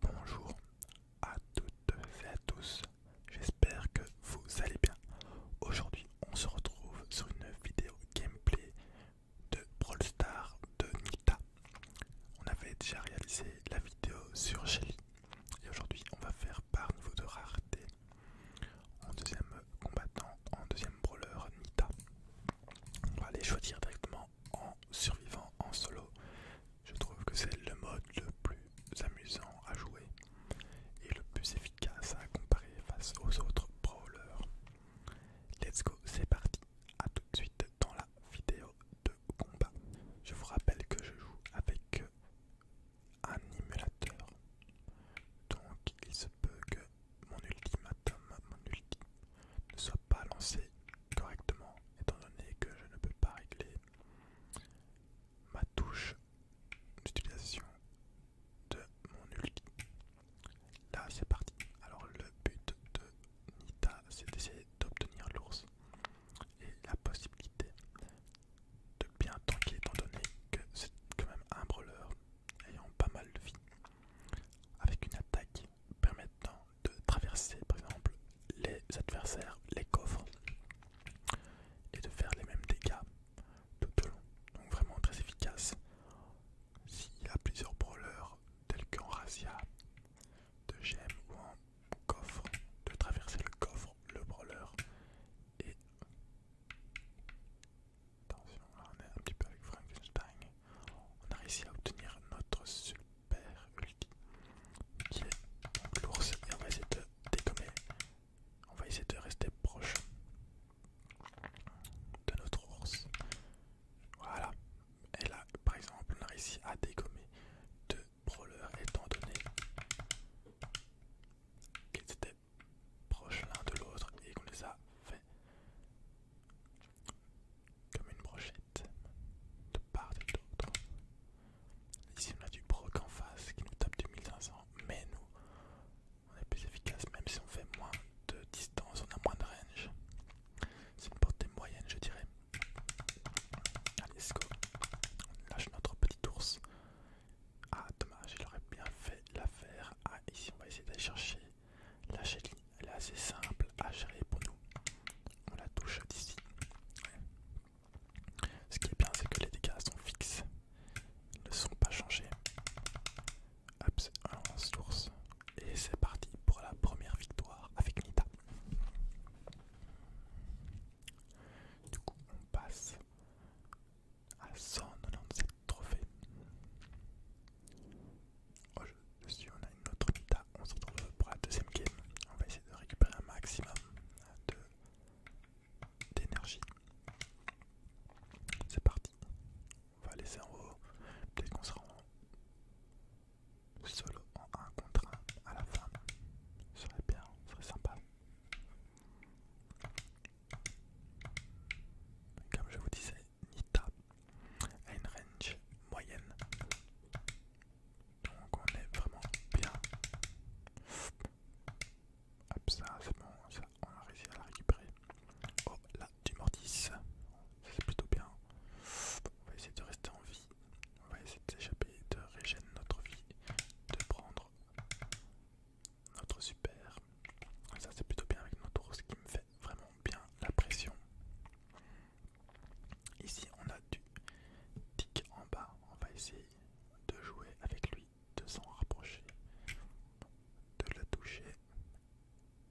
Bonjour à toutes et à tous, j'espère que vous allez bien. Aujourd'hui on se retrouve sur une vidéo gameplay de Brawl Star de Nita. On avait déjà réalisé la vidéo sur Shelly et aujourd'hui on va faire par niveau de rareté en deuxième combattant, en deuxième brawler Nita. On va aller choisir directement en survivant en solo. Je trouve que c'est le mode le plus amusant à jouer et le plus efficace à comparer face aux autres brawlers. Let's go, c'est parti, à tout de suite dans la vidéo de combat. Je vous rappelle que je joue avec un émulateur, donc il se peut que mon ultimatum, mon ne soit pas lancé correctement, étant donné que je ne peux pas régler ma touche d'utilisation de mon ulti. Là, c'est parti. Alors, le but de Nita, c'est d'essayer d'obtenir l'ours et la possibilité de bien tanker, étant donné que c'est quand même un brawler ayant pas mal de vie. Avec une attaque permettant de traverser par exemple les adversaires, les coffres et de faire les mêmes dégâts tout au long. Donc vraiment très efficace. S'il y a plusieurs brawlers tels qu'en razzia, de gemmes ou en coffre, de traverser le coffre, le brawler et... Attention, là on est un petit peu avec Frankenstein on a réussi à obtenir notre super ulti qui est l'ours et on va essayer de dégommer. On va essayer de rester proche de notre ours. Voilà. Et là, par exemple, on a réussi à dégommer deux brawlers étant donné qu'ils étaient proches l'un de l'autre et qu'on les a fait comme une brochette, de part et d'autre. Ici on a du broc en face qui nous tape du 1500, mais nous, on est plus efficace même si on fait moins de distance, on a moins de range. C'est une portée moyenne je dirais. Allez, let's On lâche notre petit ours. Ah dommage, il aurait bien fait l'affaire. Ah ici on va essayer d'aller chercher la elle est assez simple à gérer pour nous. On la touche d'ici. Ce qui est bien, c'est que les dégâts sont fixes. Ils ne sont pas changés. Hop, source. Et c'est parti pour la première victoire avec Nita. Du coup, on passe à 197 trophées. Oh, je suis, on a une autre bita on se retrouve pour la deuxième game. On va essayer de récupérer un maximum d'énergie. C'est parti. On va laisser en haut. Peut-être qu'on sera en solo en 1 contre 1 à la fin. serait bien, serait sympa. Comme je vous disais, Nita a une range moyenne. Donc on est vraiment bien. Hop ça, c'est bon, ça, on a réussi à la récupérer. Oh là, du mortis. C'est plutôt bien. On va essayer de rester en vie. On va essayer de s'échapper, de régénérer notre vie, de prendre notre super. Ça c'est plutôt bien avec notre rose qui me fait vraiment bien la pression. Ici on a du tic en bas. On va essayer de jouer avec lui, de s'en rapprocher, de le toucher.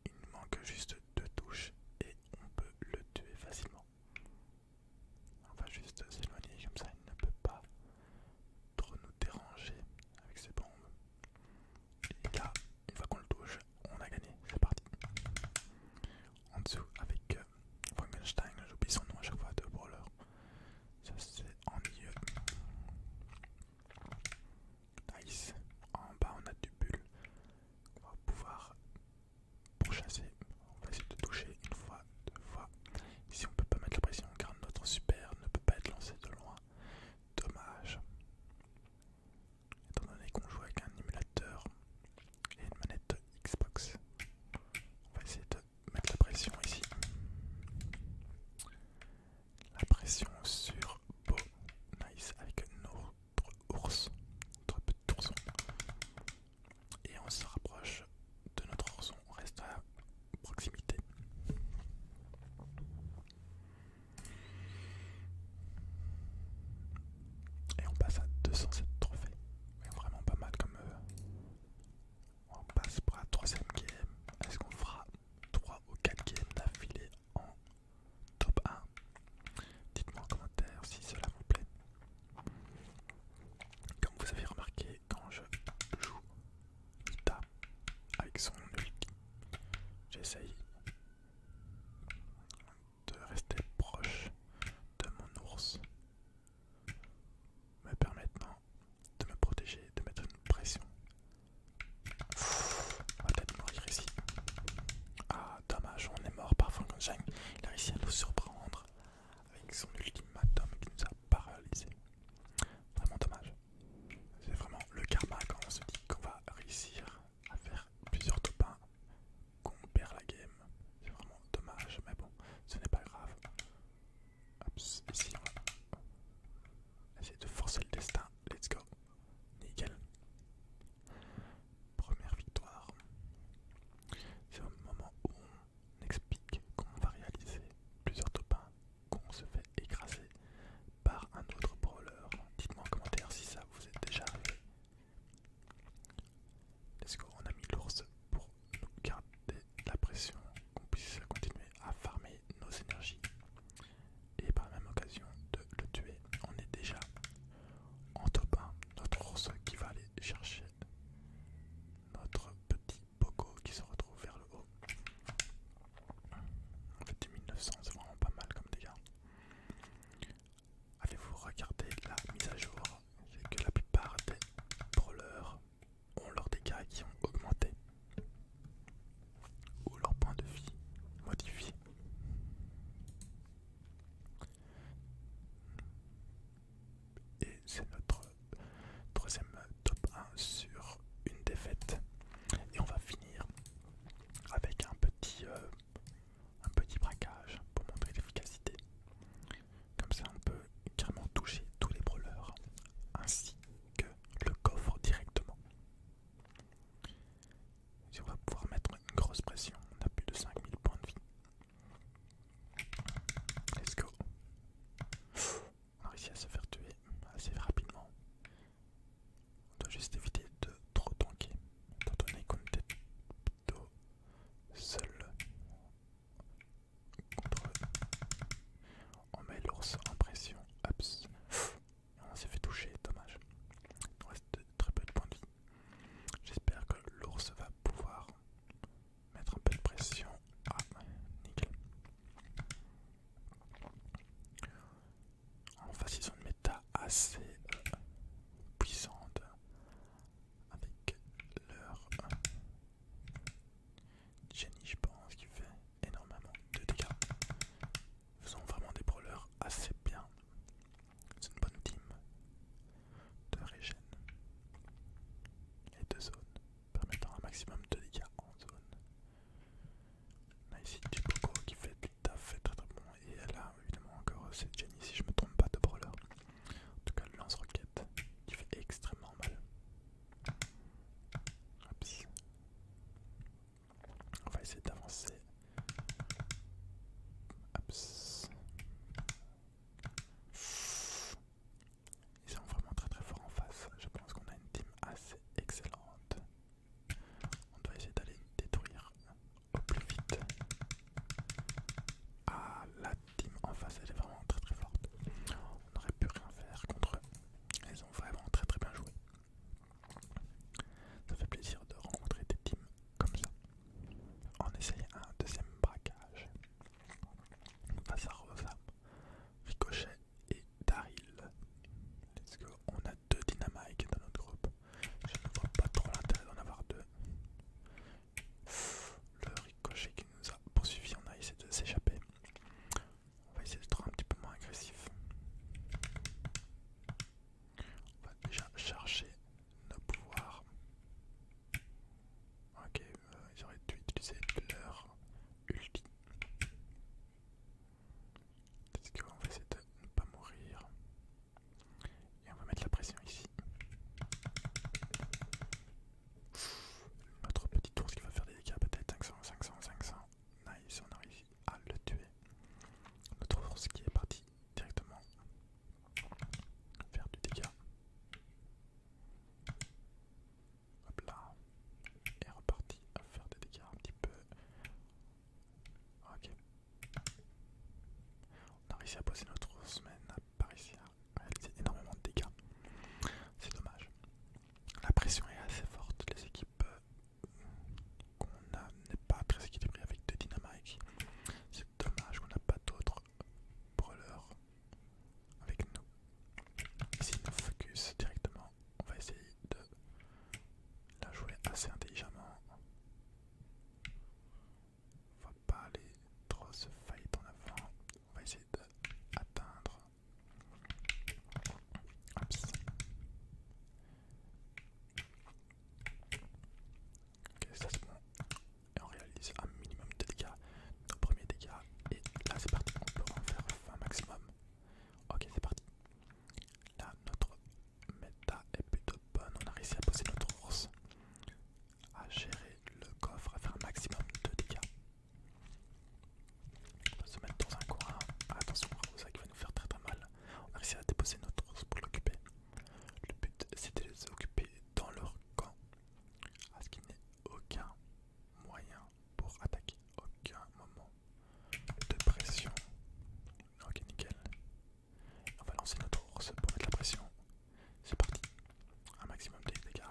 Il nous manque juste deux touches et on peut le tuer facilement. On va juste s'éloigner comme ça, il ne peut pas trop nous déranger avec ses bombes. Et là, une fois qu'on le touche, on a gagné. C'est parti. En dessous, avec euh, Frankenstein, j'oublie son nom à chaque fois de brawler. Ça c'est en milieu. Nice. En bas, on a du bulle. On va pouvoir pourchasser. On va essayer de toucher une fois, deux fois, Ici on peut pas mettre la pression car notre super ne peut pas être lancé de loin. Dommage. Étant donné qu'on joue avec un émulateur et une manette Xbox. On va essayer de mettre la pression ici. La pression sur Beau Nice avec notre ours, notre petit ourson. Et on se rapproche de notre ourson. On reste à proximité. Et on passe à 207 trophées. vraiment pas mal comme... Euh, on passe pour la troisième game. Est-ce qu'on fera 3 ou 4 games d'affilée en top 1 Dites-moi en commentaire si cela vous plaît. Comme vous avez remarqué, quand je joue avec son ulti, j'essaye de rester proche de mon ours, me permettant de me protéger, de mettre une pression. On va peut-être mourir ici. Ah dommage, on est mort par Frankenstein. Il a réussi à nous surprendre avec son ultimatum qui nous a paralysé, Vraiment dommage. C'est vraiment le karma quand on se dit qu'on va réussir à faire plusieurs top 1, qu'on perd la game. C'est vraiment dommage, mais bon, ce n'est pas grave. Hop ici on va essayer de forcer le destin. Let's go. Nickel. Première victoire. C'est un moment où on explique qu'on va réaliser plusieurs topins, qu'on se fait écraser par un autre brawler. Dites-moi en commentaire si ça vous est déjà arrivé. est-ce qu'on a mis l'ours pour nous garder la pression, qu'on puisse continuer à farmer nos énergies. Et par la même occasion de le tuer, on est déjà en top notre ours qui va aller chercher notre petit Poco qui se retrouve vers le haut. En fait, 1900, c'est vraiment pas mal comme dégâts. allez vous regarder la mise à jour C'est que la plupart des brawlers ont leurs dégâts qui ont augmenté ou leur point de vie modifiés. Et c'est notre troisième top 1 sur une défaite. Et on va finir avec un petit, euh, un petit braquage pour montrer l'efficacité. Comme ça, on peut carrément toucher tous les brawlers ainsi que le coffre directement. Si on va pouvoir mettre une grosse pression, on a plus de 5000 points de vie. Let's go. On a réussi à se faire tuer assez rapidement. On doit juste éviter de trop tanker, Tant donné qu'on était plutôt seul contre On met l'ours en pression. on s'est fait toucher, dommage. Il nous reste très peu de points de vie. J'espère que l'ours va pouvoir mettre un peu de pression. Ah, nickel. En face, ils ont une méta assez euh, puissante avec leur Jenny, euh, je pense, qui fait énormément de dégâts. Ils ont vraiment des brawlers assez bien c'est une bonne team de régène. Et de zone permettant un maximum de dégâts en zone. On a ici Coco qui fait du taf, fait très très bon. Et elle a évidemment encore euh, cette Jenny, si je me trompe pas, de brawler. En tout cas, le lance-roquette qui fait extrêmement mal. On va essayer d'avancer ils sont vraiment très très forts en face. Je pense qu'on a une team assez excellente. On doit essayer d'aller détruire au plus vite. Ah, la team en face, elle est vraiment très très forte. On n'aurait pu rien faire contre eux. Ils ont vraiment très très bien joué. Ça fait plaisir de rencontrer des teams comme ça. On essaye un deuxième braquage. Face à Rosa, Ricochet et Daryl. Let's On a deux dynamites dans notre groupe. Je ne vois pas trop l'intérêt d'en avoir deux. Le ricochet qui nous a poursuivi, on a essayé de s'échapper. On va essayer de trouver un petit peu moins agressif. On va déjà chercher nos pouvoirs. Ok, euh, ils auraient dû utiliser leur ulti. quest qu'on va essayer de ne pas mourir Et on va mettre la pression ici. Notre petit ours qui va faire des dégâts peut-être 500, 500, 500. Nice, on a réussi à le tuer. Notre force qui est parti directement faire du dégât. Hop là. Et reparti à faire des dégâts un petit peu. Ok. On a réussi à poser notre ours, mais n'a pas réussi à réaliser énormément de dégâts. C'est dommage. La pression est assez forte, les équipes euh, qu'on n'est pas très équilibré avec The Dynamite. C'est dommage qu'on n'a pas d'autres brûleurs avec nous. Ici, on focus directement. On va essayer de la jouer assez intelligemment. On va pas aller trop se faillir en avant. On va essayer d'atteindre. Oups. Ok, ça c'est Et on réalise un minimum de dégâts, nos premiers dégâts. Et là c'est parti, on peut en faire un maximum. Ok, c'est parti. Là, notre méta est plutôt bonne. On a réussi à poser notre ours, à gérer le coffre, à faire un maximum de dégâts. On va se mettre dans un coin. Ah, attention, ça qui va nous faire très très mal. On a réussi à déposer notre ours pour l'occuper. Le but c'est de les occuper dans leur camp. Parce ce qu'il n'y a aucun moyen pour attaquer. Aucun moment de pression. Ok, nickel. On va lancer notre ours pour mettre la pression. C'est parti. Un maximum de dégâts.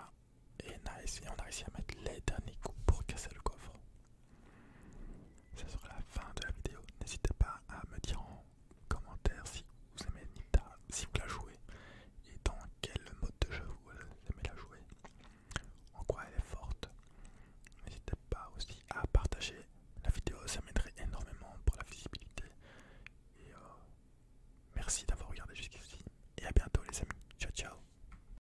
Et nice. Et on a réussi à mettre les derniers coups pour casser le coffre. Ce sera la fin de la vidéo. N'hésitez pas à me dire en commentaire si vous aimez Nita, si vous la jouez et dans quel mode de jeu vous aimez la jouer, en quoi elle est forte. N'hésitez pas aussi à partager la vidéo, ça m'aiderait énormément pour la visibilité. Et euh, merci d'avoir regardé jusqu'ici et à bientôt les amis. Ciao ciao